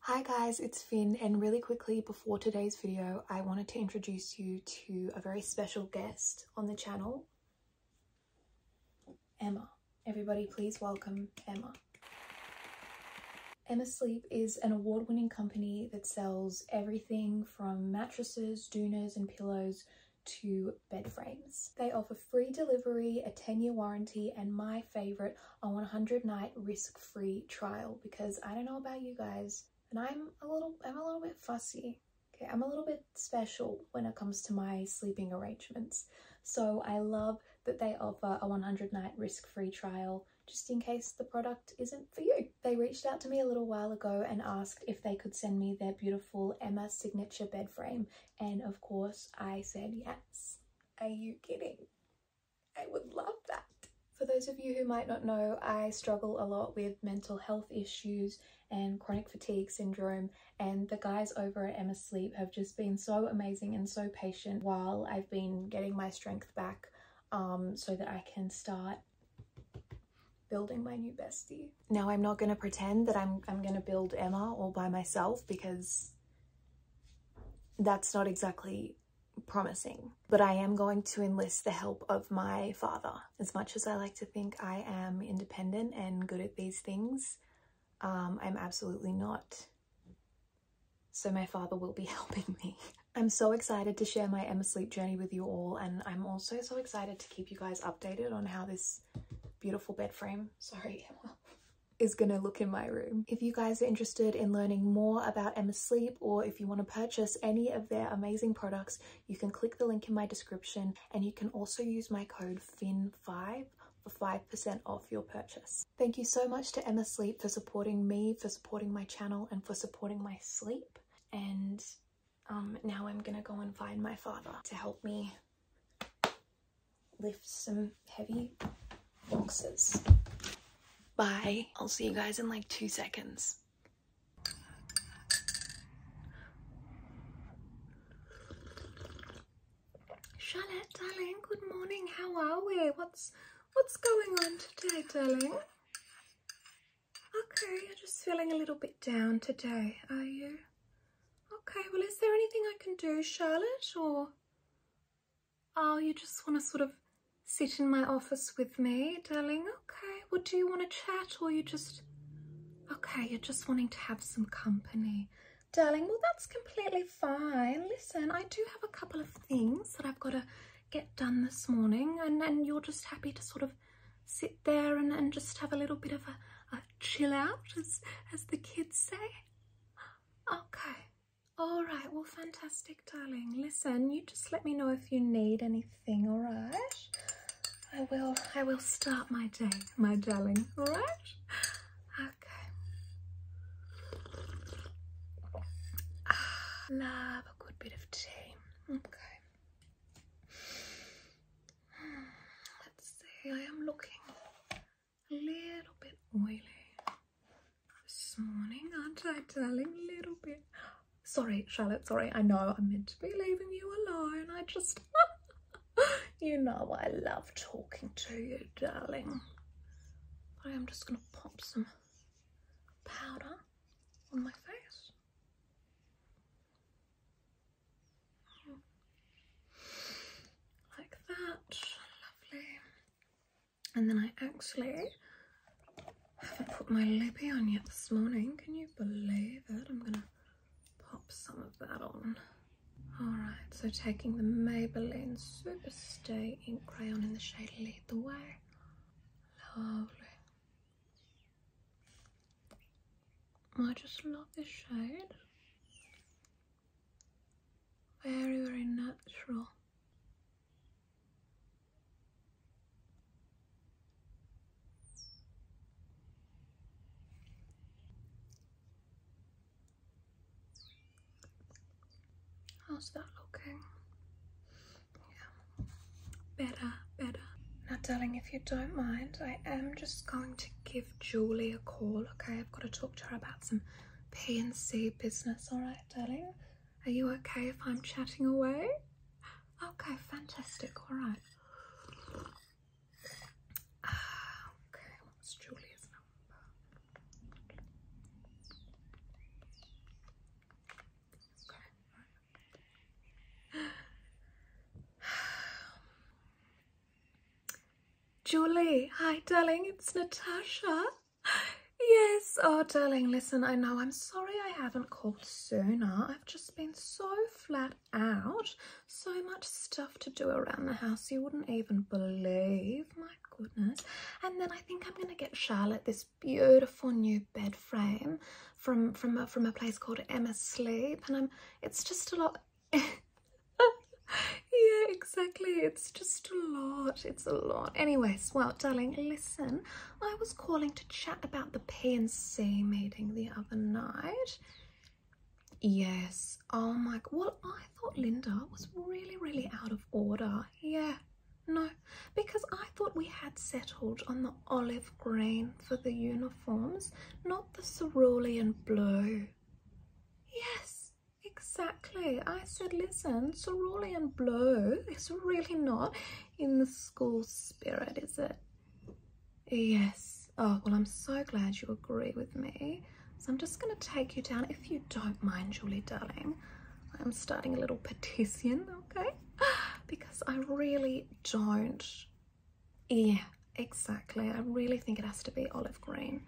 Hi guys, it's Finn and really quickly before today's video I wanted to introduce you to a very special guest on the channel, Emma. Everybody please welcome Emma. Emma Sleep is an award-winning company that sells everything from mattresses, duvets, and pillows to bed frames. They offer free delivery, a 10-year warranty and my favourite, a 100 night risk free trial because I don't know about you guys and I'm a little I'm a little bit fussy. Okay, I'm a little bit special when it comes to my sleeping arrangements. So I love that they offer a 100 night risk free trial just in case the product isn't for you. They reached out to me a little while ago and asked if they could send me their beautiful Emma signature bed frame. And of course I said yes. Are you kidding? I would love that. For those of you who might not know, I struggle a lot with mental health issues and chronic fatigue syndrome and the guys over at Emma Sleep have just been so amazing and so patient while I've been getting my strength back um, so that I can start building my new bestie. Now I'm not going to pretend that I'm, I'm going to build Emma all by myself because that's not exactly promising. But I am going to enlist the help of my father. As much as I like to think I am independent and good at these things, um, I'm absolutely not. So my father will be helping me. I'm so excited to share my Emma Sleep journey with you all and I'm also so excited to keep you guys updated on how this beautiful bed frame, sorry Emma, is going to look in my room. If you guys are interested in learning more about Emma Sleep or if you want to purchase any of their amazing products, you can click the link in my description and you can also use my code FIN5 for 5% off your purchase. Thank you so much to Emma Sleep for supporting me, for supporting my channel and for supporting my sleep. And um, now I'm gonna go and find my father to help me lift some heavy boxes. Bye. I'll see you guys in like two seconds. Charlotte, darling, good morning. How are we? What's what's going on today, darling? Okay, you're just feeling a little bit down today, are you? Okay, well, is there anything I can do, Charlotte, or Oh, you just want to sort of sit in my office with me, darling? Okay, well, do you want to chat or you just... Okay, you're just wanting to have some company. Darling, well, that's completely fine. Listen, I do have a couple of things that I've got to get done this morning and, and you're just happy to sort of sit there and, just have a little bit of a, chill out, as, as the kids say. Okay, all right, well, fantastic, darling. Listen, you just let me know if you need anything, all right? I will, I will start my day, my darling, all right? Okay. Ah, love a good bit of tea. Okay. Hmm, let's see, I am looking a little bit oily this morning, aren't I, darling? A little bit. Sorry, Charlotte, sorry. I know I'm meant to be leaving you alone. I just, you know I love talking to you, darling. I am just going to pop some powder on my face. Like that, lovely. And then I actually haven't put my lippy on yet this morning. Can you believe it? I'm gonna pop some of that on. Alright, so taking the Maybelline Super Stay ink crayon in the shade Lead the Way. Lovely. I just love this shade. Very, very natural. How's that looking? Yeah, better, better. Now, darling, if you don't mind, I am just going to give Julie a call, okay? I've got to talk to her about some P&C business, all right? darling. Are you okay if I'm chatting away? Okay, fantastic. All right. Ah, okay, what's Julia's number? Okay. Julie, hi darling, it's Natasha yes, oh darling, listen, I know I'm sorry I haven't called sooner. I've just been so flat out. So much stuff to do around the house you wouldn't even believe. My goodness. And then I think I'm going to get Charlotte this beautiful new bed frame from from a, from a place called Emma Sleep and I'm it's just a lot Yeah, exactly. It's just a lot. It's a lot. Anyways, well, darling, listen. I was calling to chat about the PNC meeting the other night. Yes. Oh my. Well, I thought Linda was really, really out of order. Yeah. No, because I thought we had settled on the olive green for the uniforms, not the cerulean blue. Yes, Exactly. I said, listen, cerulean blue is really not in the school spirit, is it? Yes. Oh, well, I'm so glad you agree with me. So I'm just going to take you down, if you don't mind, Julie, darling. I'm starting a little petition, okay? Because I really don't. Yeah, exactly. I really think it has to be olive green.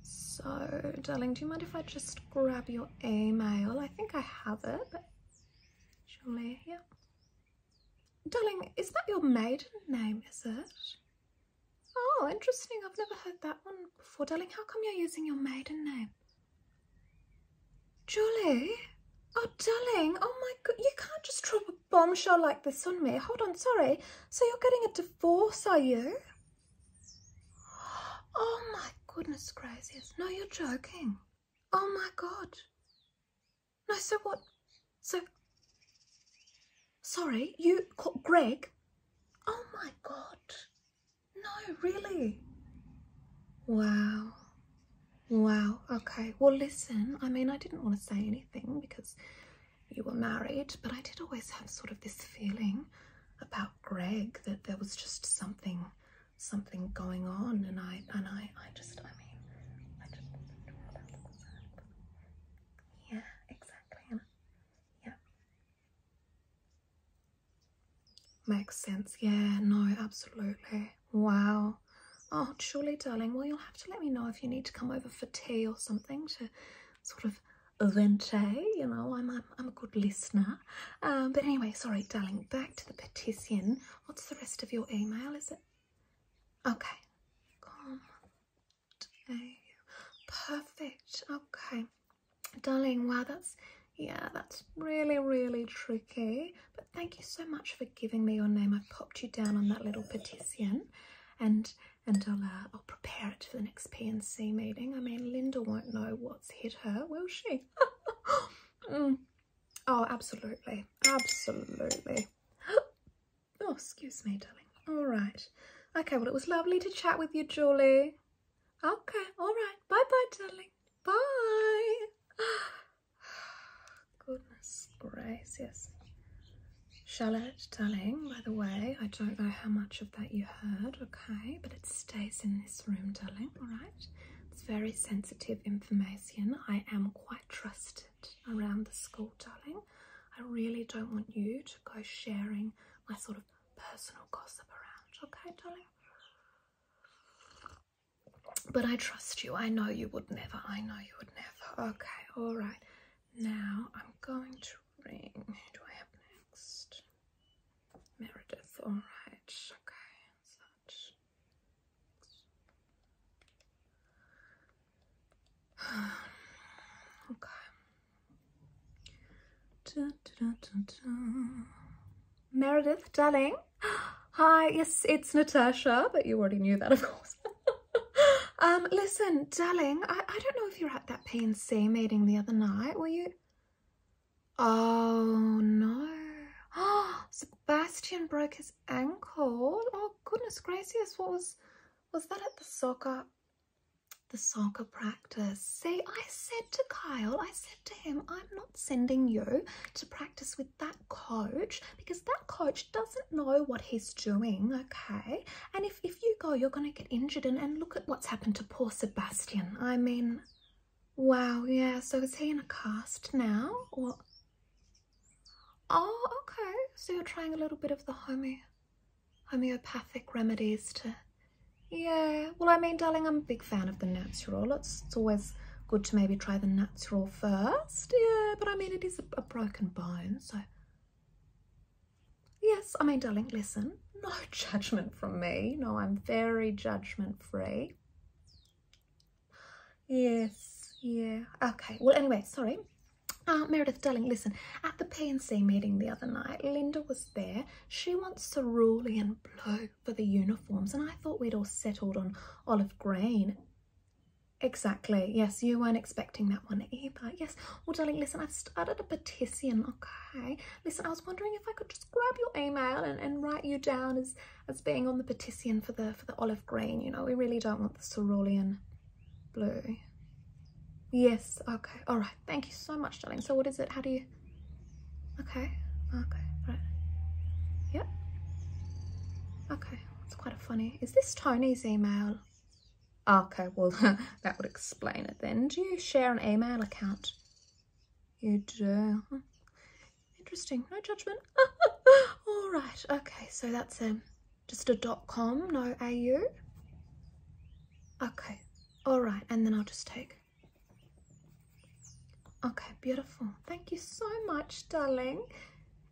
So, darling, do you mind if I just grab your email? I think I have it, but surely, yeah. Darling, is that your maiden name, is it? Oh, interesting. I've never heard that one before. Darling, how come you're using your maiden name? Julie? Oh, darling. Oh, my God. You can't just drop a bombshell like this on me. Hold on. Sorry. So you're getting a divorce, are you? Oh my goodness gracious. No, you're joking. Oh my god. No, so what? So, sorry, you, Greg? Oh my god. No, really? Wow. Wow. Okay. Well, listen, I mean, I didn't want to say anything because you were married, but I did always have sort of this feeling about Greg that there was just something something going on and I and I I just I mean Yeah, exactly. Anna. Yeah. Makes sense, yeah, no, absolutely. Wow. Oh, surely darling. Well you'll have to let me know if you need to come over for tea or something to sort of of you know, I'm, I'm, a good listener. Um, but anyway, sorry, darling, back to the petition. What's the rest of your email, is it? Okay. Perfect. Okay. Darling, wow, that's, yeah, that's really, really tricky. But thank you so much for giving me your name. I popped you down on that little petition and and I'll, uh, prepare it for the next PNC meeting. I mean, Linda won't know what's hit her, will she? Mm. Oh, absolutely. Absolutely. oh, excuse me, darling. All right. Okay, well, it was lovely to chat with you, Julie. Okay, all right. Bye-bye, darling. Bye. Goodness gracious. Charlotte, darling, by the way, I don't know how much that you heard, okay? But it stays in this room, darling, alright? It's very sensitive information. I am quite trusted around the school, darling. I really don't want you to go sharing my sort of personal gossip around, okay, darling? But I trust you. I know you would never. I know you would never. Okay, alright. Now I'm going to ring. Who do I have next? Meredith, alright, okay, such. okay. Meredith, darling. Hi, yes, it's Natasha, but you already knew that, of course. um, listen, darling, I, I don't know if you were at that PNC meeting the other night. Were you? Oh no. Oh, Sebastian broke his ankle. Oh goodness gracious, what was was that at the soccer the soccer practice. See, I said to Kyle, I said to him, I'm not sending you to practice with that coach because that coach doesn't know what he's doing, okay? And if, if you go, you're going to get injured. And, and look at what's happened to poor Sebastian. I mean, wow, yeah, so is he in a cast now? Oh, okay, so you're trying a little bit of the homeo homeopathic remedies to... Yeah, well, I mean, darling, I'm a big fan of the natural. It's, always good to maybe try the natural first. Yeah, but I mean, it is a, a broken bone, so... Yes, I mean, darling, listen, no judgment from me. No, I'm very judgment free. Yes, yeah. Okay, well, anyway, sorry. Uh, Meredith, darling, listen, at the PNC meeting the other night, Linda was there. She wants cerulean blue for the uniforms, and I thought we'd all settled on olive green. Exactly, yes, you weren't expecting that one either. Yes, well, darling, listen, I've started a petition, okay? Listen, I was wondering if I could just grab your email and, and write you down as, as being on the petition for the, for the olive green. You know, we really don't want the cerulean blue. Yes, okay, all right. Thank you so much, darling. So what is it? How do you... Okay, okay, right. Yep. Okay, that's quite a funny... Is this Tony's email? Okay, well, that would explain it then. Do you share an email account? You do. Interesting. No judgment. All right. Okay. So that's um, just a dot com, no au. Okay. All right. And then I'll just take. Okay. Beautiful. Thank you so much, darling.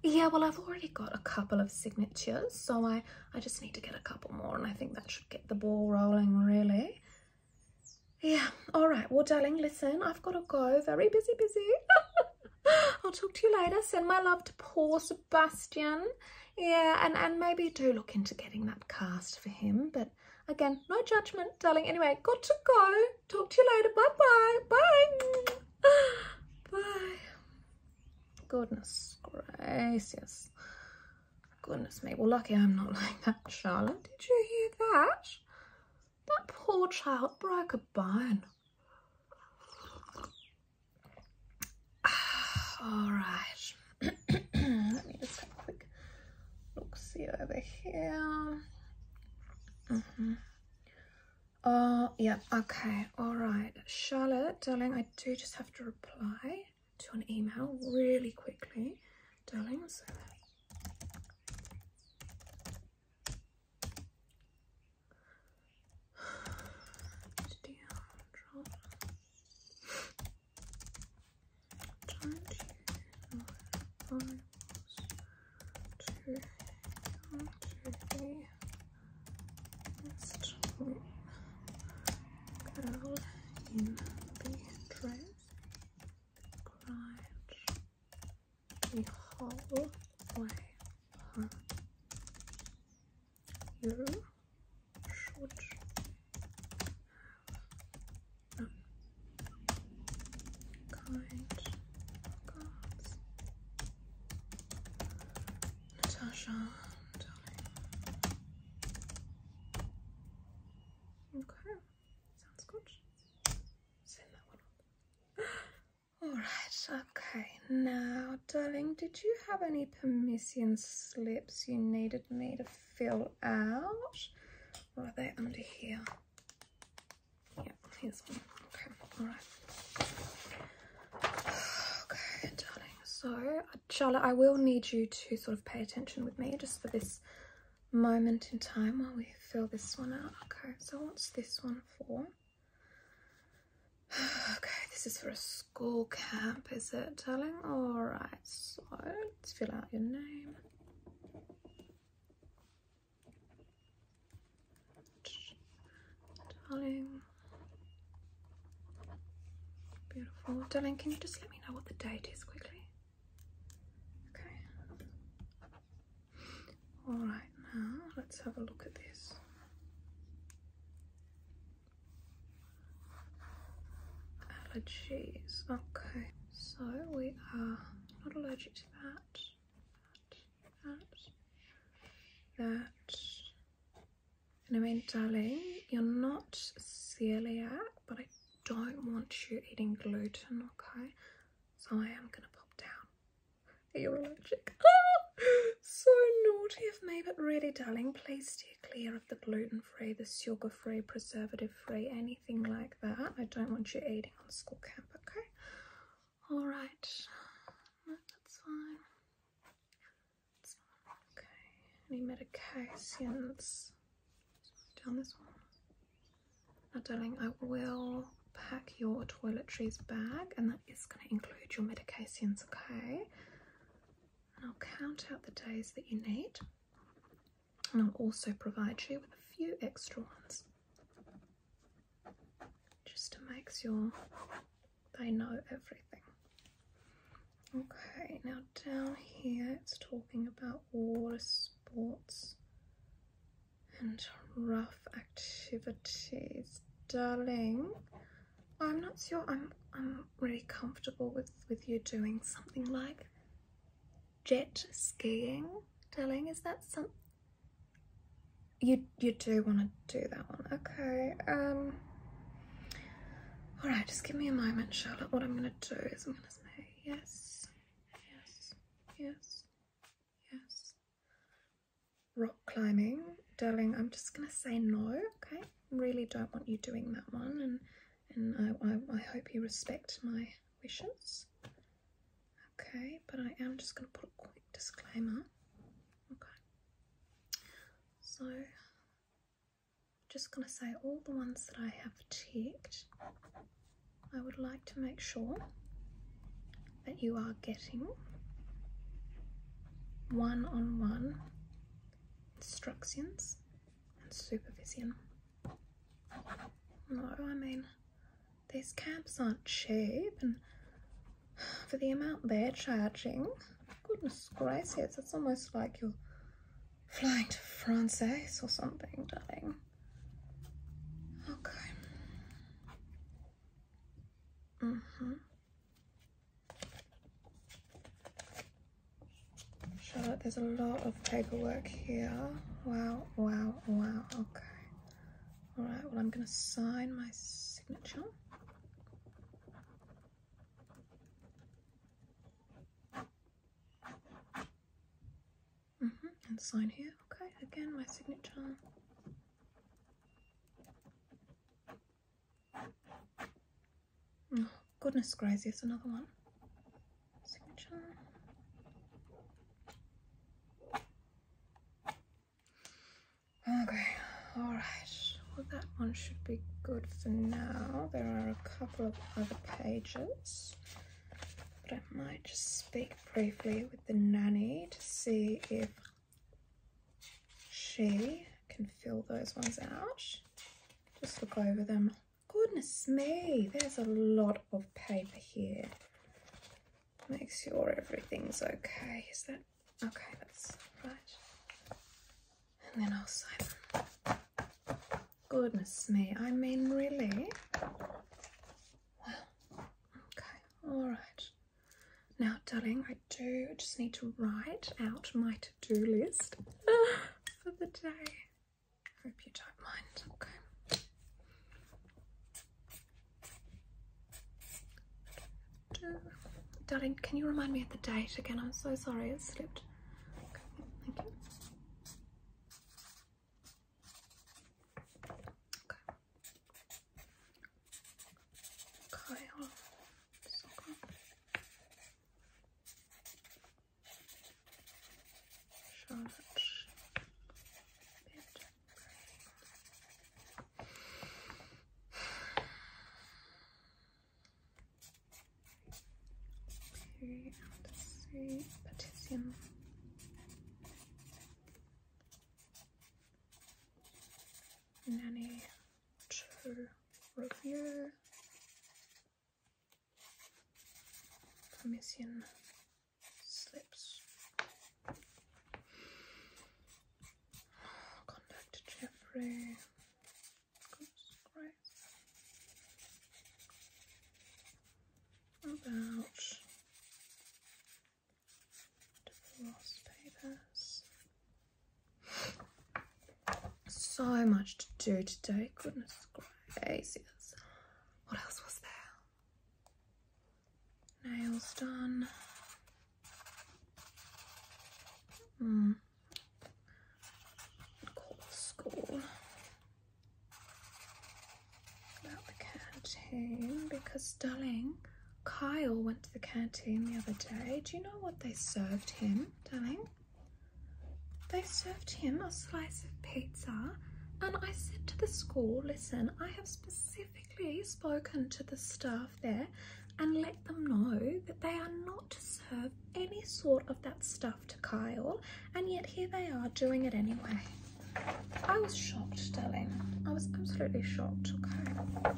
Yeah, well, I've already got a couple of signatures, so I, I just need to get a couple more and I think that should get the ball rolling, really. Yeah, all right. Well, darling, listen, I've got to go. Very busy, busy. I'll talk to you later. Send my love to poor Sebastian. Yeah, and, and maybe do look into getting that cast for him. But again, no judgment, darling. Anyway, got to go. Talk to you later. Bye-bye. Bye. Bye. Goodness gracious. Goodness me. Well, lucky I'm not like that, Charlotte. Did you hear that? That poor child broke a bone. All right. Let me just have a quick look see over here. Oh, mm-hmm. uh, yeah. Okay. All right. Charlotte, darling, I do just have to reply to an email really quickly, darling. So girl in the dress, cried the whole way home. You should have kind cards. Natasha, Okay, sounds good. Send that one Alright, okay. Now, darling, did you have any permission slips you needed me to fill out? Or are they under here? Yeah, here's one. Okay, alright. Okay, darling, so Charlotte, I will need you to sort of pay attention with me just for this moment in time while we fill this one out. Okay, so what's this one for? okay, this is for a school camp, is it, darling? Alright, so let's fill out your name. Darling. Beautiful. Darling, can you just let me? let know what the date is quickly. Okay. Alright, now let's have a look at this. Allergies. Okay, so we are not allergic to that, that, that, that. And I mean, darling, you're not celiac, but I don't want you eating gluten, okay? So I am gonna pop down. You're allergic. so naughty of me, but really, darling, please steer clear of the gluten-free, the sugar-free, preservative-free, anything like that. I don't want you eating on school camp, okay? All right. that's fine. That's fine. Okay. Any medications? Now, darling, I will pack your toiletries bag, and that is going to include your medications, okay? And I'll count out the days that you need, and I'll also provide you with a few extra ones just to make sure they know everything. Okay, now down here it's talking about water sports and rough activities. Darling, I'm not sure I'm I'm really comfortable with, with you doing something like jet skiing. Darling, is that some you you do want to do that one. Okay. Um, all right, just give me a moment, Charlotte. What I'm going to do is I'm going to say yes, yes, yes, yes. Rock climbing. Darling, I'm just going to say no, okay? Really don't want you doing that one and and I, I, hope you respect my wishes. Okay, but I am just going to put a quick disclaimer. Okay. So just going to say all the ones that I have checked. I would like to make sure that you are getting one on one instructions and supervision. No, I mean, these camps aren't cheap, and for the amount they're charging, goodness gracious, it's almost like you're flying to France or something, darling. Okay. Mm-hmm. Charlotte, there's a lot of paperwork here. Wow, wow, wow, okay. All right, well, I'm gonna sign my signature. Mm-hmm, and sign here. Okay, again, my signature. Oh, goodness gracious, another one. Signature. Okay, alright. Well, that one should be good for now. There are a couple of other pages, but I might just speak briefly with the nanny to see if she can fill those ones out. Just look over them. Goodness me, there's a lot of paper here. Make sure everything's okay. Is that okay? That's right. And then I'll sign them. Goodness me, I mean, really? Well, okay, all right. Now, darling, I do just need to write out my to-do list for the day. Hope you don't mind, okay? Darling, can you remind me of the date again? I'm so sorry, it slipped Okay, thank you. Okay. Kyle Sokol. Charlotte Bid. Okay, and say potassium. Nanny Revere Permission slips. Contact Jeffrey about the papers. So much to do today, goodness gracious. What else was there? Nails done. Mm call school about the canteen because darling Kyle went to the canteen the other day. Do you know what they served him, darling? They served him a slice of pizza and I said to the school, listen, I have specifically spoken to the staff there and let them know that they are not to serve any sort of that stuff to Kyle, and yet here they are doing it anyway. I was shocked, darling. I was absolutely shocked, okay?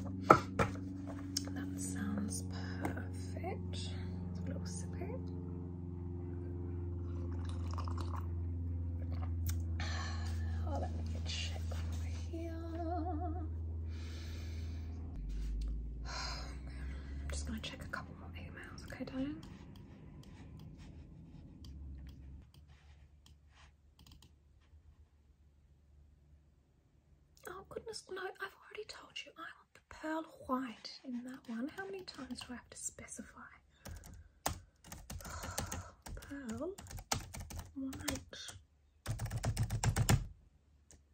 That sounds perfect. A little sippy. Oh, let me check over here. just gonna check a couple eight miles, okay, darling? Oh, goodness, no, I've already told you. I want the pearl white in that one. How many times do I have to specify? pearl white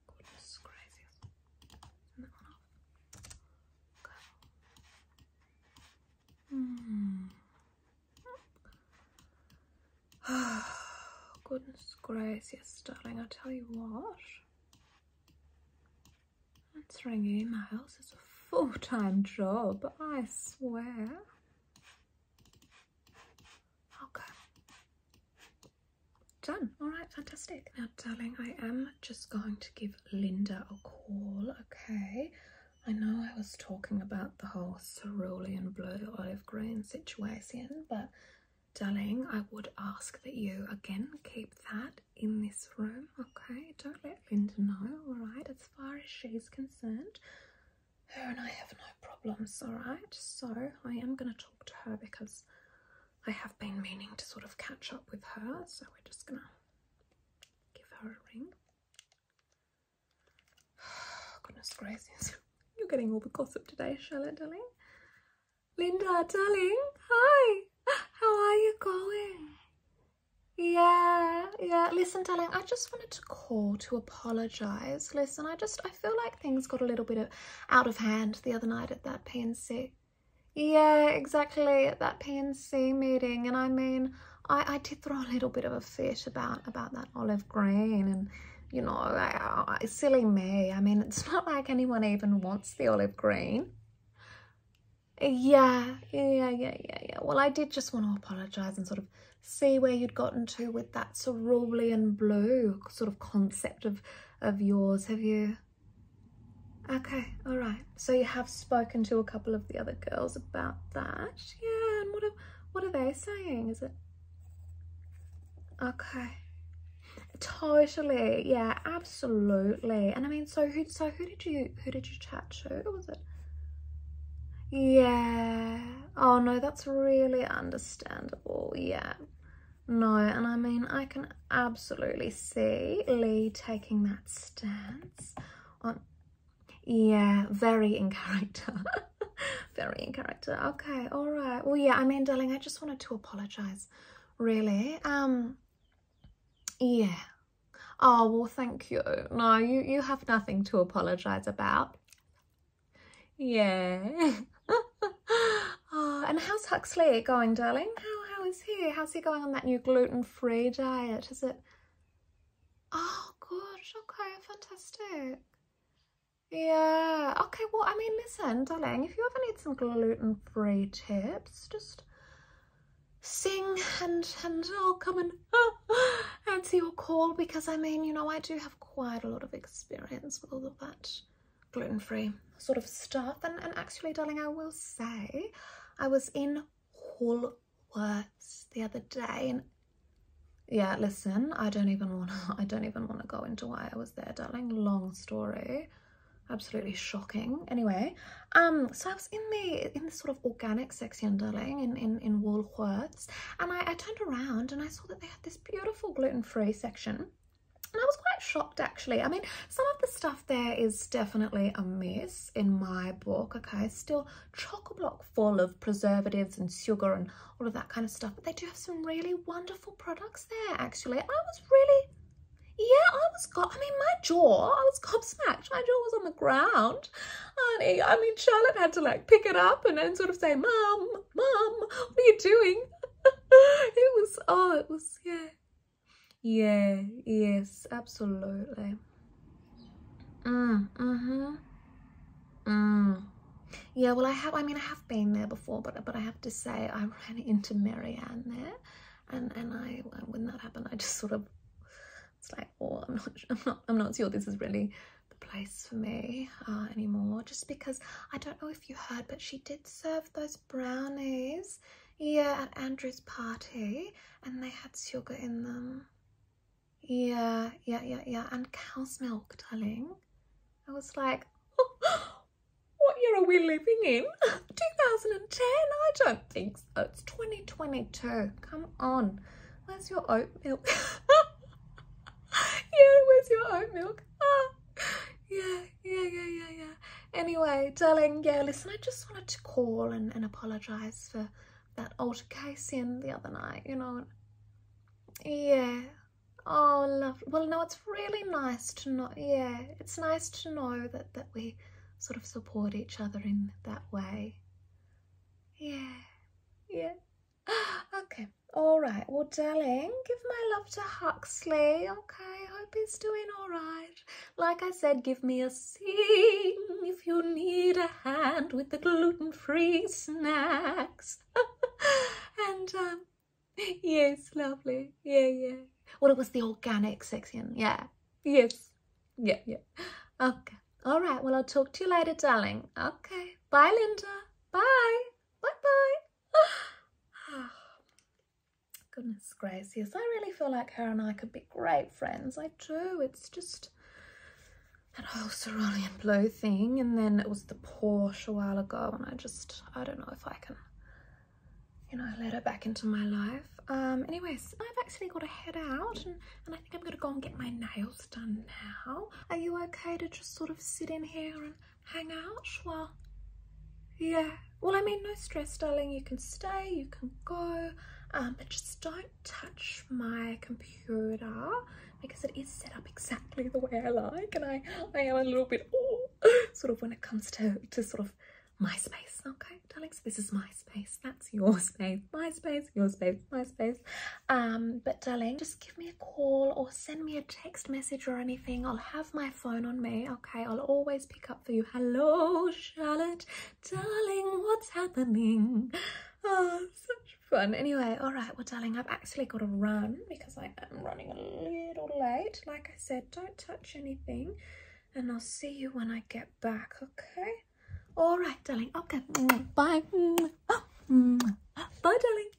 goodness gracious. And that one off. Go. Mm. goodness gracious, darling, I tell you what. Answering emails is a full-time job, I swear. Okay. Done. All right, fantastic. Now, darling, I am just going to give Linda a call, okay? I know I was talking about the whole cerulean blue olive green situation, but darling, I would ask that you again keep that in this room, okay? Don't let Linda know, all right? As far as she's concerned, her and I have no problems, all right? So I am going to talk to her because I have been meaning to sort of catch up with her, so we're just gonna give her a ring. Goodness gracious, you're getting all the gossip today, Charlotte, darling. Linda, darling, hi. How are you going? Yeah, yeah. Listen, darling, I just wanted to call to apologise. Listen, I just, I feel like things got a little bit out of hand the other night at that PNC. Yeah, exactly, at that PNC meeting. And I mean, I, I did throw a little bit of a fit about, about that olive green and, you know, I, silly me. I mean, it's not like anyone even wants the olive green. Yeah, yeah, yeah, yeah, yeah. Well, I did just want to apologise and sort of see where you'd gotten to with that cerulean blue sort of concept of, of yours. Have you Okay, all right. So you have spoken to a couple of the other girls about that. Yeah, and what are, what are they saying? Is it? Okay. Totally. Yeah, absolutely. And I mean, so who so who did you who did you chat to? Was it? Yeah. Oh no, that's really understandable. Yeah. No, and I mean, I can absolutely see Lee taking that stance on, yeah, very in character, very in character. Okay, all right. Well, yeah, I mean, darling, I just wanted to apologise, really. Um, yeah. Oh, well, thank you. No, you, you have nothing to apologise about. Yeah. Ah, and how's Huxley going, darling? How, how is he? How's he going on that new gluten-free diet? Is it... Oh, good. Okay, fantastic. Yeah. Okay, well, I mean, listen, darling, if you ever need some gluten-free tips, just sing and and I'll come and answer your call because I mean, you know, I do have quite a lot of experience with all of that gluten-free sort of stuff. And, and actually, darling, I will say I was in Woolworths the other day and yeah, listen, I don't even want to, I don't even want to go into why I was there, darling. Long story. Absolutely shocking. Anyway, um, so I was in the in the sort of organic section, darling, in in in Woolworths, and I, I turned around and I saw that they had this beautiful gluten-free section and I was quite shocked actually. I mean, some of the stuff there is definitely a mess in my book, okay? still chock block full of preservatives and sugar and all of that kind of stuff. But they do have some really wonderful products there actually. I was really yeah, I was got. I mean, my jaw, I was gobsmacked. My jaw was on the ground. Honey, I mean, Charlotte had to like pick it up and then sort of say, Mom, Mom, what are you doing? it was, oh, it was, yeah, yeah, yes, absolutely. Mm, mm-hmm. Mm. Yeah, well, I have, I mean, I have been there before, but but I have to say I ran into Marianne there and, and I, uh, when that happened, I just sort of, it's like, oh, I'm not, I'm not, I'm not sure this is really the place for me uh, anymore, just because I don't know if you heard, but she did serve those brownies yeah, at Andrew's party, and they had sugar in them. Yeah, yeah, yeah, yeah, and cow's milk, darling. I was like, what year are we living in? 2010? I don't think so. It's 2022. Come on. Where's your oat milk? yeah, where's your oat milk? Ah, yeah, yeah, yeah, yeah, yeah. Anyway, darling, yeah, listen, I just wanted to call and, and apologise for that altercation the other night, you know. Yeah. Oh, love. Well, no, it's really nice to know. Yeah, it's nice to know that, that we sort of support each other in that way. Yeah. Yeah. okay. All right. Well, darling, give my love to Huxley okay, hope he's doing all right. Like I said, give me a sing if you need a hand with the gluten-free snacks. and, um, yes, lovely. Yeah, yeah. Well, it was the organic section. Yeah. Yes. Yeah, yeah. Okay. All right. Well, I'll talk to you later, darling. Okay. Bye, Linda. Bye. Bye-bye. Ah. Goodness gracious, I really feel like her and I could be great friends. I do. It's just that whole cerulean blue thing. And then it was the Porsche a while ago. And I just, I don't know if I can, you know, let her back into my life. Um, anyways, I've actually got to head out and, and I think I'm going to go and get my nails done now. Are you okay to just sort of sit in here and hang out, schwa. Yeah. Well, I mean, no stress, darling. You can stay, you can go, um, but just don't touch my computer because it is set up exactly the way I like, and I, I am a little bit sort of when it comes to to sort of my space, okay, darling. So this is my space. That's your space. My space. Your space. My space. Um, but darling, just give me a call or send me a text message or anything. I'll have my phone on me, okay? I'll always pick up for you. Hello, Charlotte, darling, what's happening? Oh, such fun. Anyway, all right, well, darling, I've actually got to run because I am running a little late. Like I said, don't touch anything and I'll see you when I get back, okay? All right, darling. Okay, bye. Oh. Bye, darling.